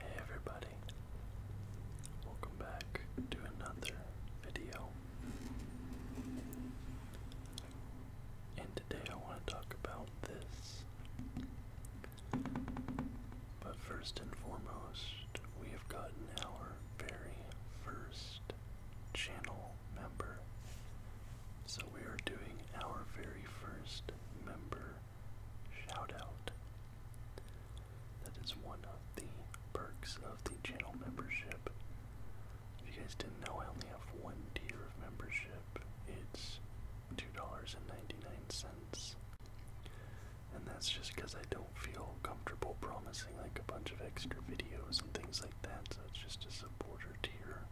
Hey everybody, welcome back to another video. And today I want to talk about this. But first and foremost, we have gotten our very first channel member. So we are doing our very first member shout out. That is one of the perks of the channel membership. If you guys didn't know, I only have one tier of membership. It's $2.99. And that's just because I don't feel comfortable promising like a bunch of extra videos and things like that. So it's just a supporter tier.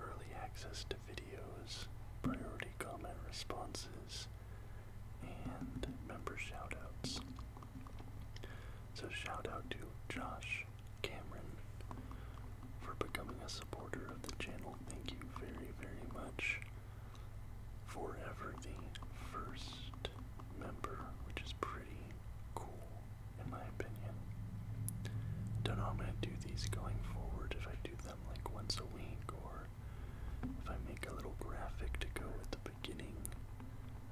Early access to videos videos, priority comment responses, and member shoutouts. So shout out to Josh Cameron for becoming a supporter of the channel. Thank you very, very much. Forever the first member, which is pretty cool in my opinion. Don't know how I'm gonna do these going forward if I do them like once a week or if I make a little graphic to go at the beginning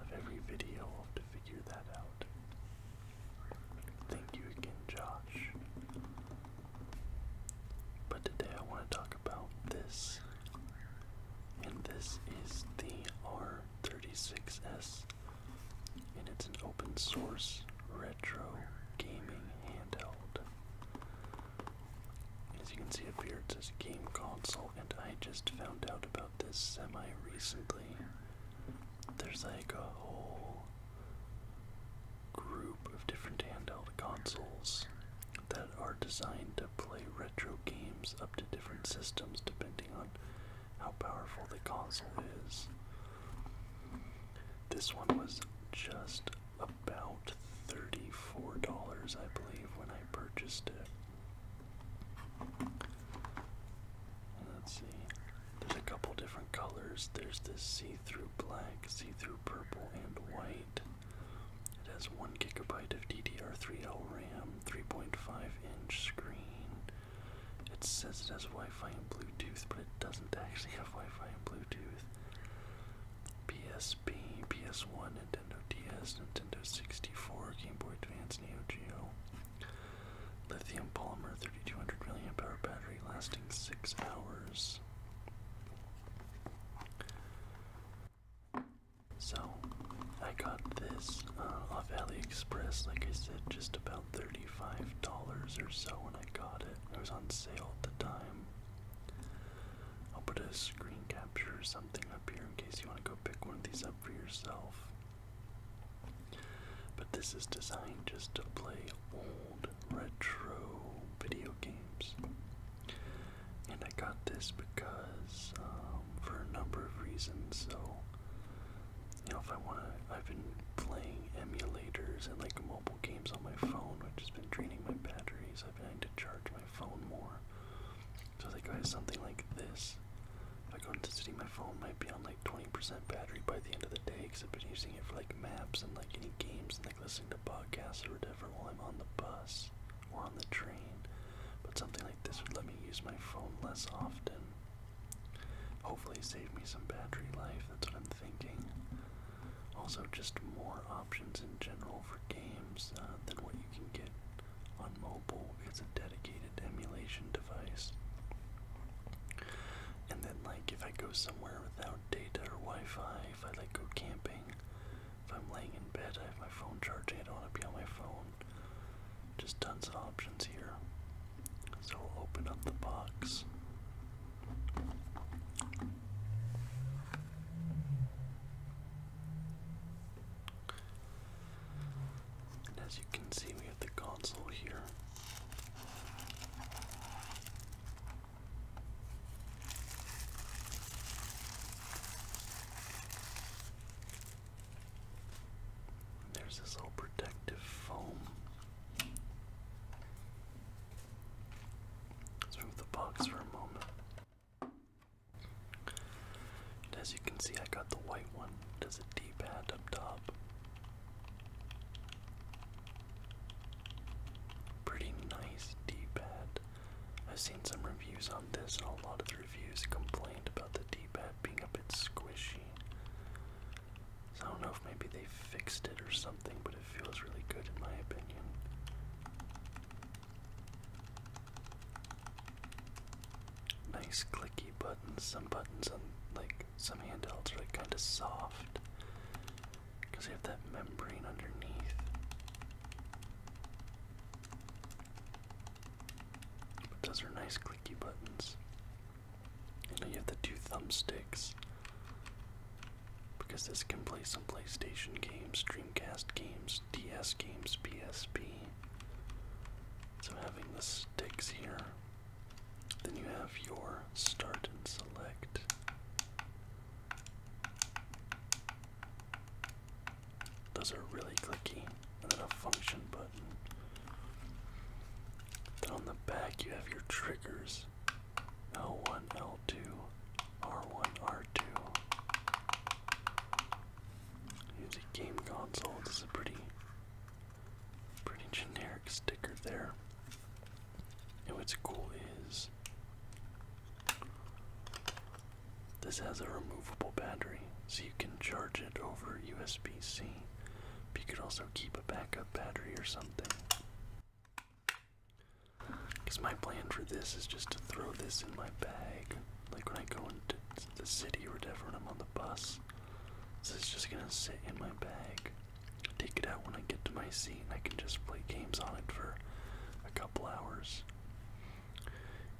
of every video, I'll have to figure that out. Thank you again, Josh. But today I want to talk about this. And this is the R36S. And it's an open source retro gaming handheld. As you can see up here, it says game console, and I just found out about this semi recently. There's like a whole group of different handheld consoles that are designed to play retro games up to different systems depending on how powerful the console is. This one was just about $34, I believe, when I purchased it. Let's see. There's a couple different colors. There's this see-through black, see-through purple, and white. It has one gigabyte of DDR3L RAM, 3.5-inch screen. It says it has Wi-Fi and Bluetooth, but it doesn't actually have Wi-Fi and Bluetooth. PSP, PS1, Nintendo DS, Nintendo 64, Game Boy Advance, Neo Geo. Lithium polymer 3200 mAh battery lasting 6 hours. So, I got this uh, off AliExpress, like I said, just about $35 or so when I got it. It was on sale at the time. I'll put a screen capture or something up here in case you want to go pick one of these up for yourself. But this is designed just to play old retro video games. And I got this because, um, for a number of reasons, so, you know, if I want to, I've been playing emulators and like mobile games on my phone, which has been draining my batteries days. I've been to charge my phone more. So I I have something like this. If I go into city, my phone might be on like 20% battery by the end of the day because I've been using it for like maps and like any games and like listening to podcasts or whatever while I'm on the bus or on the train. But something like this would let me use my phone less often. Hopefully, save me some battery life. That's what I'm thinking. Also, just more options in general for games uh, than what you can get on mobile. It's a dedicated emulation device. And then, like, if I go somewhere without data or Wi-Fi, if I like go camping, if I'm laying in bed, I have my phone charging. I don't want to be on my phone. Just tons of options here. So we'll open up the box as you can see, we have the console here. There's this old protective foam let the box for a moment. as you can see, I got the white one. Does has a D-pad up top. Pretty nice D-pad. I've seen some reviews on this, and a lot of the reviews complained about the D-pad being a bit squishy. So I don't know if maybe they fixed it or something, but it feels really good in my opinion. Nice clicky buttons. Some buttons like some handhelds are like kind of soft because they have that membrane underneath. But those are nice clicky buttons. And you have the two thumbsticks because this can play some PlayStation games, Dreamcast games, DS games, PSP. So having the sticks here, then you have your start and select. Those are really clicky, and then a function button. Then on the back you have your triggers. L1, L2, R1, R2. Use a game console. This is a pretty, pretty generic sticker there. And what's cool is this has a removable battery, so you can charge it over USB-C. But you could also keep a backup battery or something. Because my plan for this is just to throw this in my bag. Like when I go into the city or whatever when I'm on the bus. this is just gonna sit in my bag. Take it out when I get to my seat and I can just play games on it for a couple hours.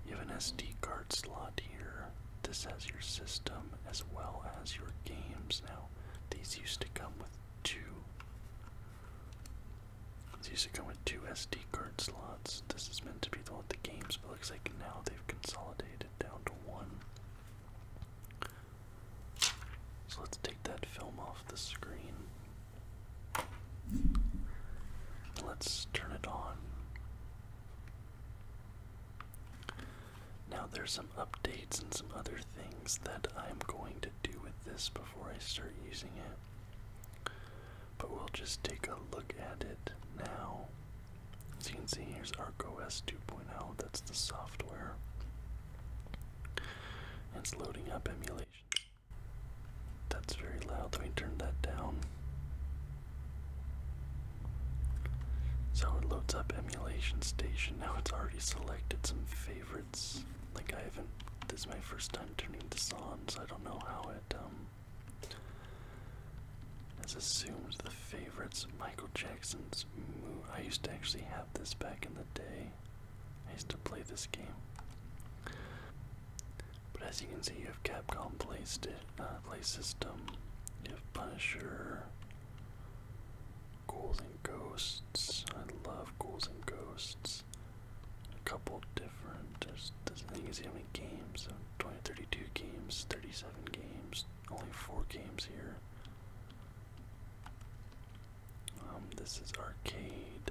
You have an SD card slot here. This has your system as well as your games. Now, these used to come with two it's used to come with two SD card slots. This is meant to be the one with the games, but looks like now they've consolidated down to one. So let's take that film off the screen. Let's turn it on. Now there's some updates and some other things that I'm going to do with this before I start using it. But we'll just take a look at it now. As you can see, here's ArcOS 2.0, that's the software. It's loading up emulation. That's very loud, let me turn that down. So it loads up Emulation Station. Now it's already selected some favorites. It's Like I haven't. This is my first time turning this on, so I don't know how it um. Has assumed the favorites. Michael Jackson's. I used to actually have this back in the day. I used to play this game. But as you can see, you have Capcom placed it. Uh, play system. You have Punisher. Ghouls and Ghosts. I love Ghouls and Ghosts a couple different. There's this thing is how many games? So games, 37 games, only four games here. Um, this is arcade.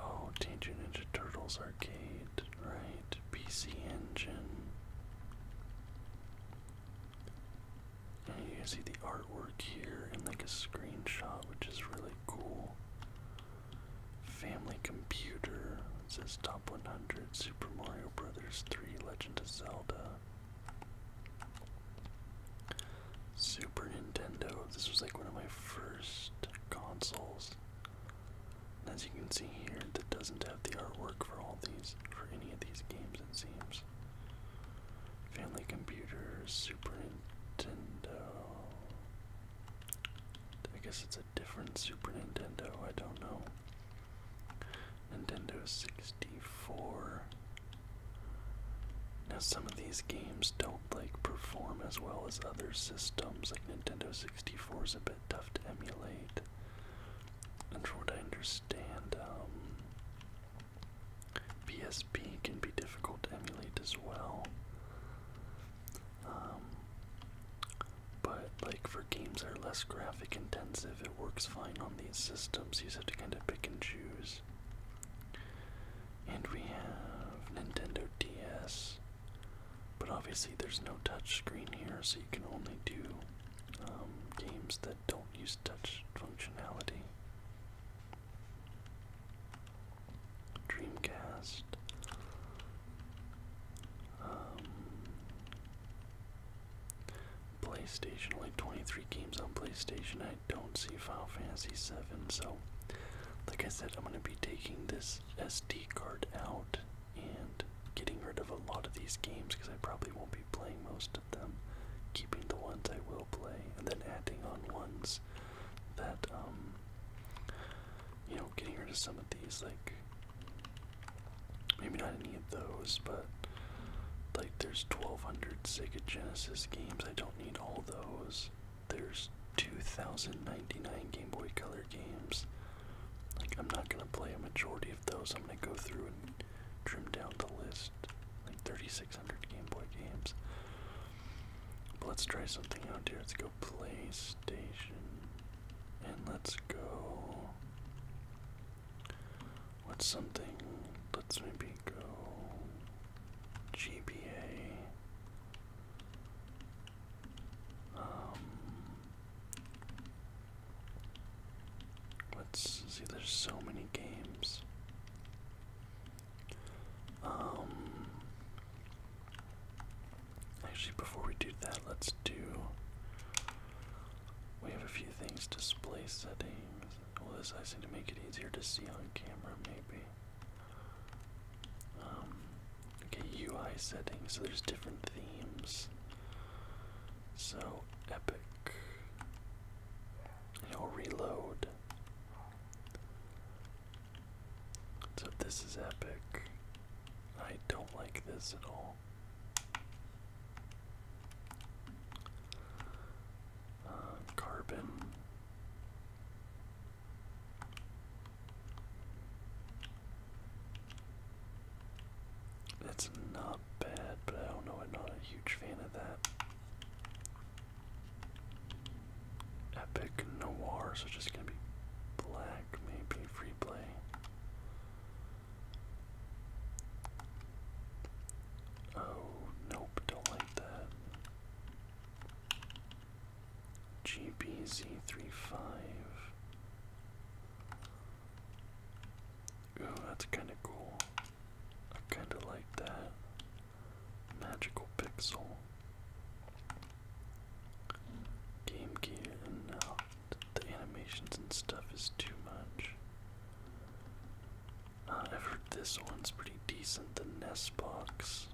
Oh, Teenage Ninja Turtles arcade, right? PC Engine. You can see the artwork here and like a screenshot, which is really cool. Family computer it says top 100 Super Mario Brothers 3 Legend of Zelda. Super Nintendo. This was like one of my first consoles. as you can see here, that doesn't have the artwork for all these, for any of these games, it seems. Family Computer, Super Nintendo. I guess it's a different Super Nintendo, I don't know. Nintendo 64. Now, some of these games don't like perform as well as other systems, like Nintendo 64 is a bit tough to emulate. And from what I understand, um, PSP can be difficult to emulate as well. Um, but like for games that are less graphic intensive, it works fine on these systems. You just have to kind of pick and choose. And we have Nintendo DS, but obviously there's no touch screen here, so you can only do um, games that don't use touch functionality. Dreamcast. Um, PlayStation, only 23 games on PlayStation. I don't see Final Fantasy 7, so like I said, I'm going to be taking this SD card out and getting rid of a lot of these games because I probably won't be playing most of them, keeping the ones I will play, and then adding on ones that um you know getting rid of some of these like maybe not any of those but like there's 1200 Sega Genesis games I don't need all those there's 2099 Game Boy Color games like I'm not gonna play a majority of those I'm gonna go through and trim down the list like 3600 Game Boy games let's try something out here. Let's go PlayStation. And let's go. What's something? Let's maybe go. GBA. Um, let's see, there's so many games. Um, actually, before we do that, let's do. We have a few things display settings. Well, this I seem to make it easier to see on camera, maybe. Um, okay, UI settings. So there's different themes. So epic. You know, reload. So this is epic. I don't like this at all. Uh, carbon. That's not bad, but I don't know. I'm not a huge fan of that. Epic Noir, so just gonna be black, maybe free play. Oh, nope, don't like that. GBZ35. Ooh, that's kind of cool. I kind of like that. Magical Pixel, Game Gear, and now the animations and stuff is too much. Uh, i heard this one's pretty decent, the Nest Box.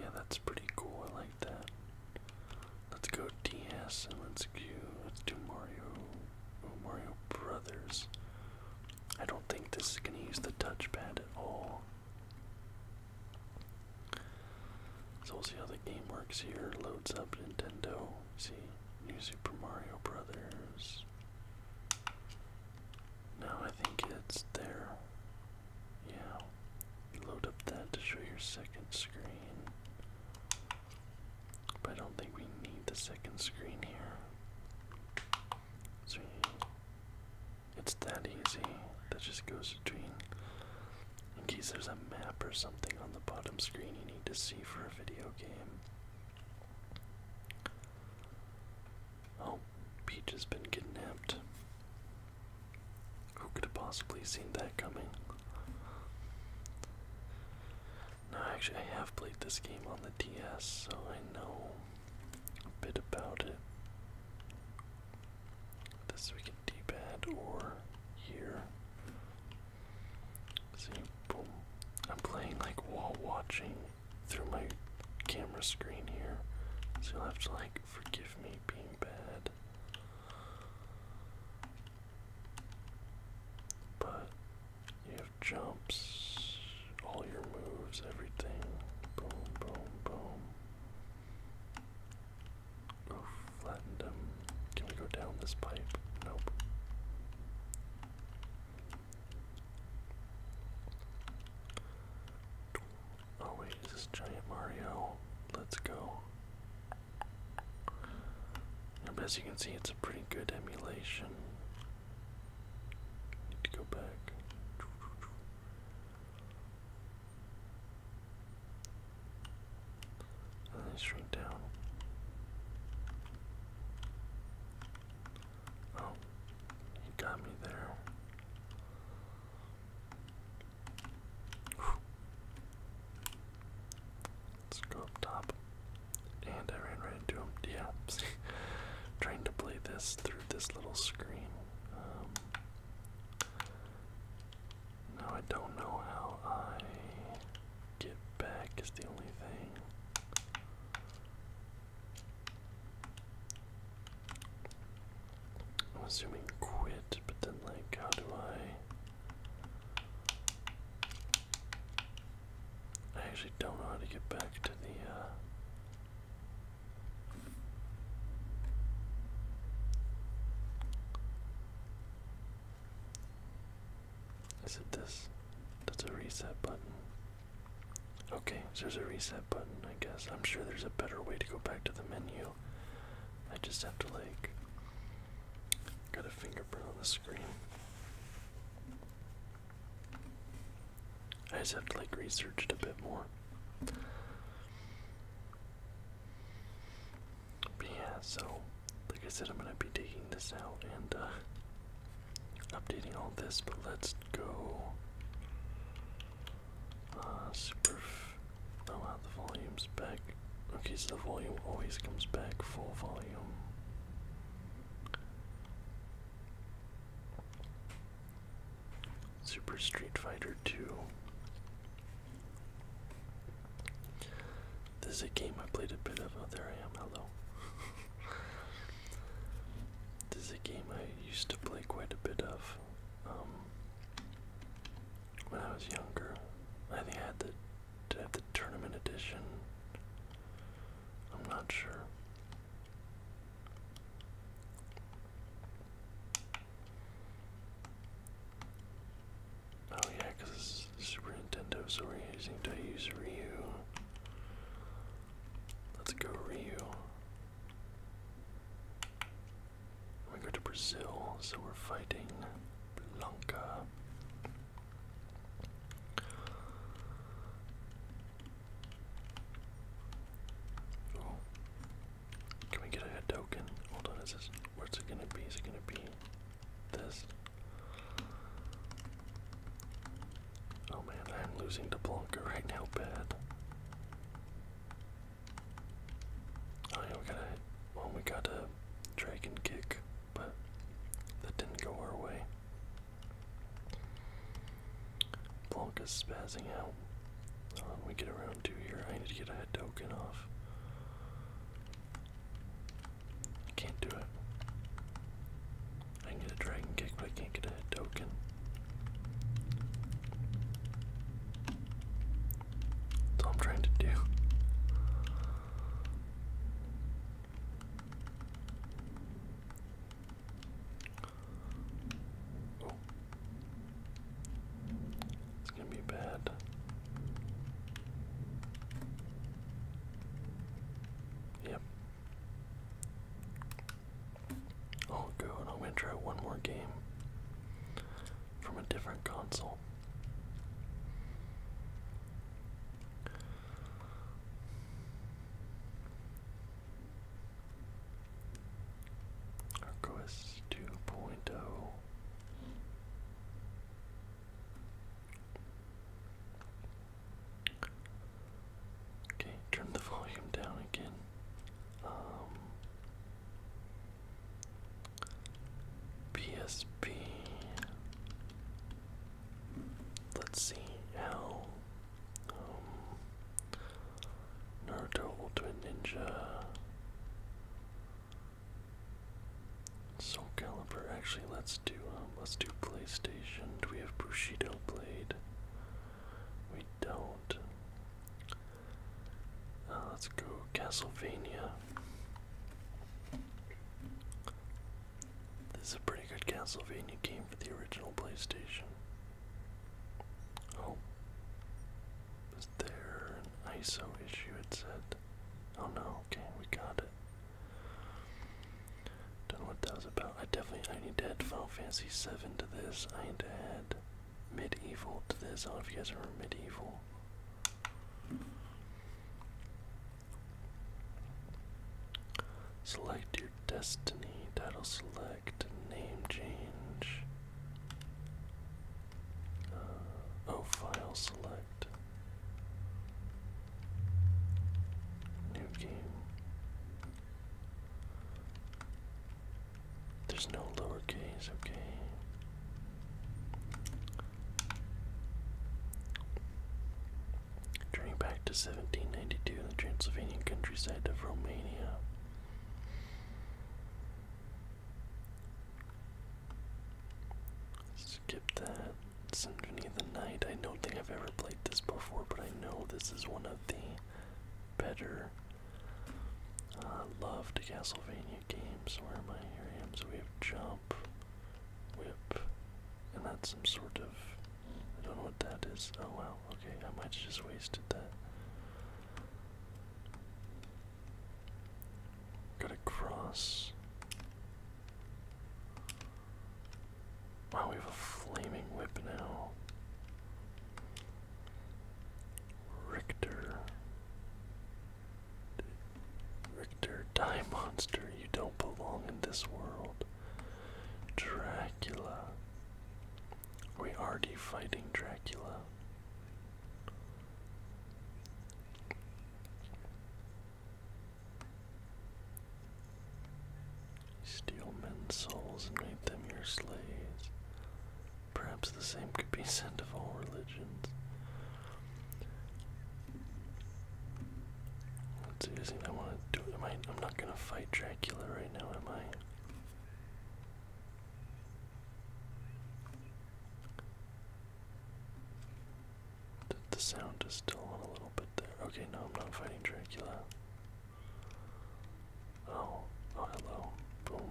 Yeah, that's pretty cool. I like that. Let's go DS and let's go. Let's do Mario Mario Brothers. I don't think this is going to use the touchpad at all. So we'll see how the game works here. Loads up Nintendo. See, New Super Mario Brothers. Now I think it's there. Yeah. Load up that to show your second screen. But I don't think we need the second screen here. So it's that easy. That just goes between. In case there's a map or something on the bottom screen you need to see for a video game. Oh, Peach has been kidnapped. Who could have possibly seen that coming? No, actually, I have played this game on the DS, so I know a bit about it. This we can D-pad or here. See, boom. I'm playing like while watching through my camera screen here, so you'll have to like forgive me being bad. But yeah, jumps, all your moves, everything. Boom, boom, boom. Oof, flattened him. Can we go down this pipe? Nope. Oh wait, is this giant Mario? Let's go. Now, as you can see, it's a pretty good emulation Need to go back. And then shrink down. Oh, he got me there. Let's go up top. And I ran right into him. Yeah, trying to play this through this little screen. Um, now I don't know how I get back is the only thing. I'm assuming quit, but then like how do I I actually don't know how to get back to the uh, is it this? That's a reset button. Okay, so there's a reset button, I guess. I'm sure there's a better way to go back to the menu. I just have to, like, get a fingerprint on the screen. I just have to like research it a bit more. But yeah, so like I said, I'm gonna be taking this out and uh, updating all this. But let's go. Uh, super. Oh wow, the volume's back. Okay, so the volume always comes back full volume. Super Street Fighter 2. This is a game I played a bit of. Oh, there I am. Hello. this is a game I used to play quite a bit of um, when I was younger. I think I had the, I had the tournament edition. I'm not sure. Oh yeah, because Super Nintendo, so we're using Ryu. Let's go Ryu. We go to Brazil, so we're fighting Blanca. Oh. Can we get a head token? Hold on, is this where's it gonna be? Is it gonna be this? Oh man, I'm losing to Blanca right now bad. Oh we got a well we got a dragon kick, but that didn't go our way. Blanc is spazzing out. Hold on, get around two here. I need to get a token off. I can't do it. I can get a dragon kick, but I can't get a token. That's all I'm trying to do. It's gonna be bad. Yep. Oh good, I'm gonna try one more game from a different console. Arcois 2.0. Okay, turn the volume down again. PSP. Um, Let's see how um, Naruto Ultimate Ninja. Soul Calibur. Actually, let's do um, let's do PlayStation. Do we have Bushido Blade? We don't. Uh, let's go Castlevania. This is a pretty good Castlevania game for the original PlayStation. Oh. Is there an ISO issue it said? Oh no, okay, we got it. Don't know what that was about. I definitely I need to add Final Fantasy VII to this. I need to add Medieval to this. I don't know if you guys remember Medieval. Select your destiny, title select, name change. Uh, oh, file select. New game. There's no lowercase, okay. Journeying back to 1792 in the Transylvanian countryside of Romania. Skip that. Symphony of the Night. I don't think I've ever played this before, but I know this is one of the better uh, loved Castlevania games. Where am I? Here I am. So we have Jump, Whip, and that's some sort of I don't know what that is. Oh well. okay, I might have just wasted that. Got a cross. Wow, we have a flaming whip now. Richter. Richter, die monster, you don't belong in this world. Dracula. We already fighting Dracula. Steal men's souls and make them your slaves. Perhaps the same could be said of all religions. Let's see, I I want to do Am I, I'm not going to fight Dracula right now, am I? the sound is still on a little bit there. Okay, no, I'm not fighting Dracula. Oh, oh, hello. Boom.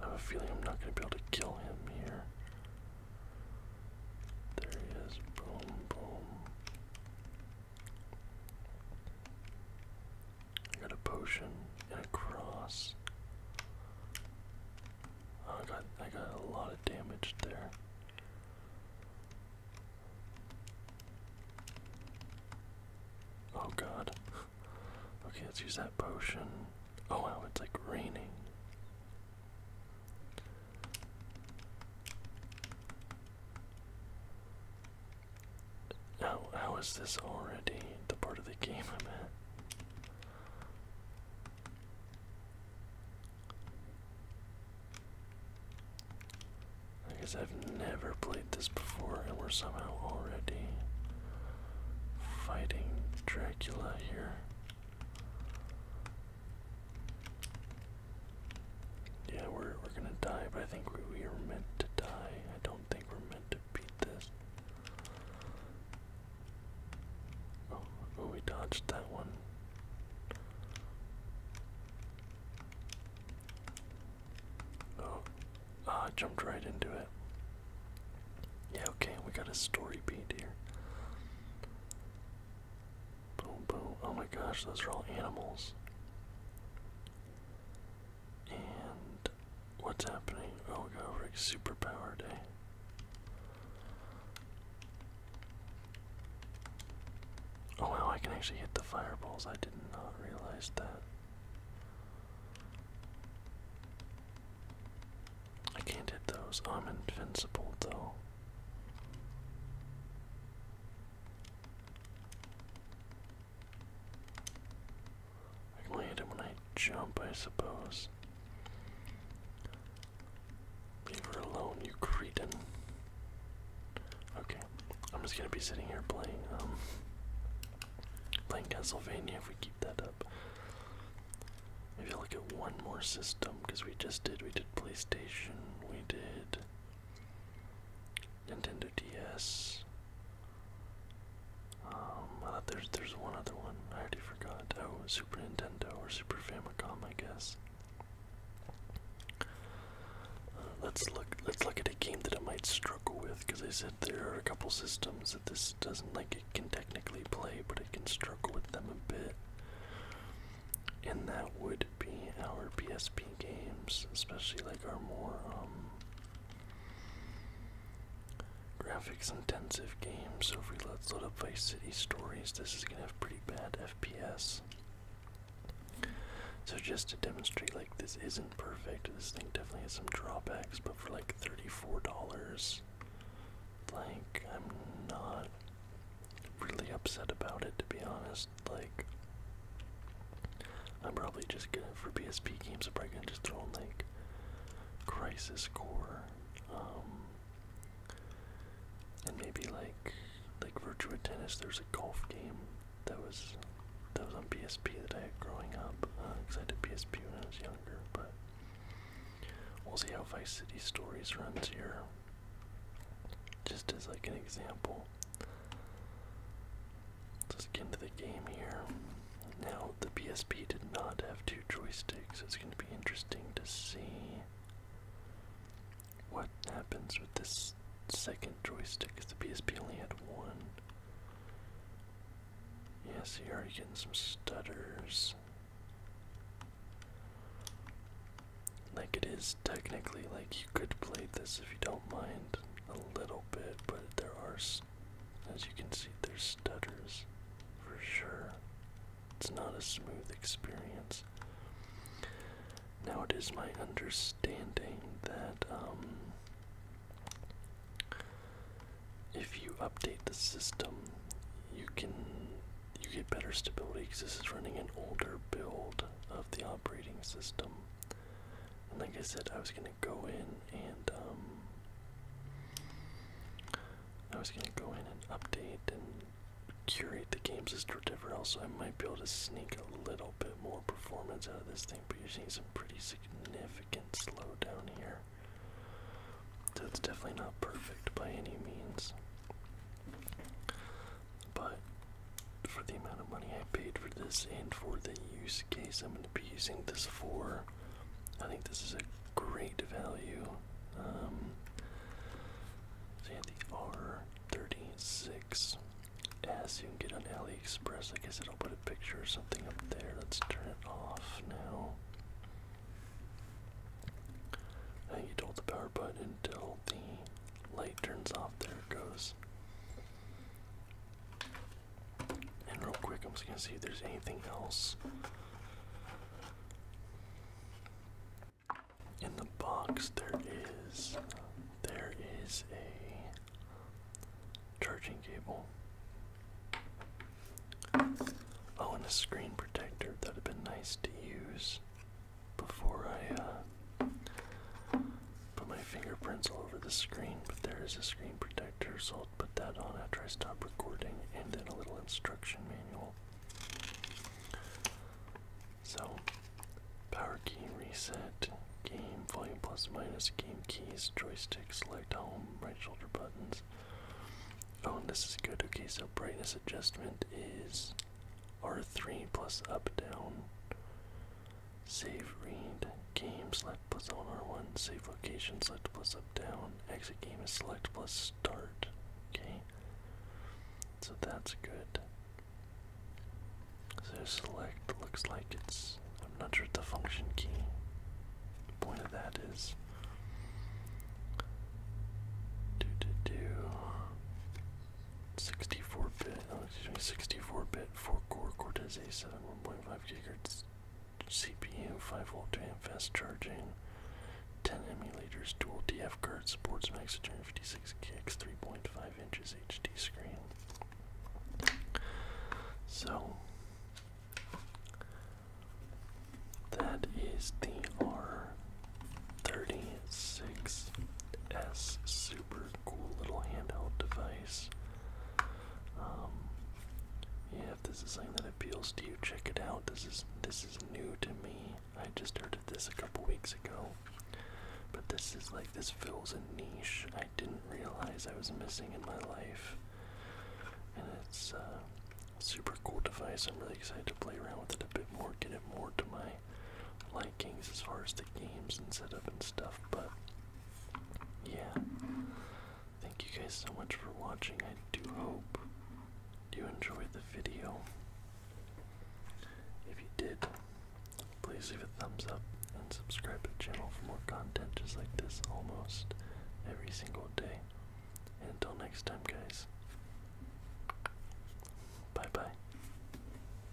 I have a feeling I'm not going to be able to kill him here. There he is. Boom, boom. I got a potion and a cross. Oh, I got I got a lot of damage there. Oh god. Okay, let's use that potion. Oh wow, it's like raining. How, how is this already the part of the game i I guess I've never played this before, and we're somehow already fighting Dracula here. Yeah, we're we're gonna die, but I think we, we are meant to die. I don't think we're meant to beat this. Oh, oh we dodged that one. Oh, ah, jumped right into it. Yeah, okay, we got a story beat here. Boom, boom. Oh my gosh, those are all animals. And what's happening? Oh, we got over like superpower day. Oh wow, I can actually hit the fireballs. I did not realize that. I can't hit those. I'm invincible though. I can land him when I jump, I suppose. Leave her alone, you cretin. Okay, I'm just gonna be sitting here playing, um, playing Castlevania if we keep that up. if you look at one more system, because we just did, we did PlayStation, we did Nintendo DS. Um, there's there's one other one. I already forgot. Oh, Super Nintendo or Super Famicom, I guess. let's look. Let's look at a game that I might struggle with, because I said there are a couple systems that this doesn't like. It can technically play, but it can struggle with them a bit and that would be our PSP games, especially like our more um, graphics intensive games. So if we let's load up Vice City Stories, this is gonna have pretty bad FPS. So just to demonstrate, like this isn't perfect. This thing definitely has some drawbacks, but for like thirty-four dollars, blank, I'm not really upset about it to be honest. Like, I'm probably just gonna for PSP games. I'm probably gonna just throw like Crisis Core, um, and maybe like like Virtua Tennis. There's a golf game that was that was on PSP that I had growing up because uh, I did PSP when I was younger. But we'll see how Vice City Stories runs here. Just as like an example, Let's get into the game here. Now, the PSP did not have two joysticks. It's going to be interesting to see what happens with this second joystick because the PSP only had one. Yes, you're already getting some stutters like it is technically like you could play this if you don't mind a little bit, but there are, as you can see, there's stutters for sure. It's not a smooth experience. Now it is my understanding that um, if you update the system, you can you get better stability because this is running an older build of the operating system. And like I said, I was gonna go in and um, I was gonna go in and update and curate the games as Driverell, so I might be able to sneak a little bit more performance out of this thing. But you're seeing some pretty significant slowdown here, so it's definitely not perfect by any means. But for the amount of money I paid for this and for the use case I'm going to be using this for, I think this is a great value. Um, the R36S you can get on AliExpress. I guess it'll put a picture or something up there. Let's turn it off now. I think you hold the power button until the Light turns off, there it goes. And real quick, I'm just gonna see if there's anything else in the box. There is, there is a charging cable. Oh, and a screen protector. That'd have been nice to use before I uh, put my fingerprints all over the screen, but there is a screen protector, so I'll put that on after I stop recording, and then a little instruction manual. So, power key reset, game volume plus minus, game keys, joystick, select home, right shoulder buttons. Oh, this is good. Okay, so brightness adjustment is R3 plus up down. Save read. Game select plus on R1. Save location select plus up down. Exit game is select plus start. Okay. So that's good. So select looks like it's I'm not sure the function key. point of that is do do do 64 bit, oh, excuse me, 64 bit 4 core Cortez A7 1.5 gigahertz, CPU, 5 volt two amp fast charging, 10 emulators, dual TF cards, supports max 256 gigs, 3.5 inches HD screen. So, that is the R36S6 super cool little handheld device. Um, yeah, if this is something that appeals to you, check it out. This is this is new to me. I just heard of this a couple weeks ago. But this is like this fills a niche I didn't realize I was missing in my life. And it's uh, a super cool device. I'm really excited to play around with it a bit more, get it more to my like games as far as the games and setup and stuff, but yeah. Thank you guys so much for watching. I do hope you enjoyed the video. If you did, please leave a thumbs up and subscribe to the channel for more content just like this almost every single day. until next time, guys. Bye bye.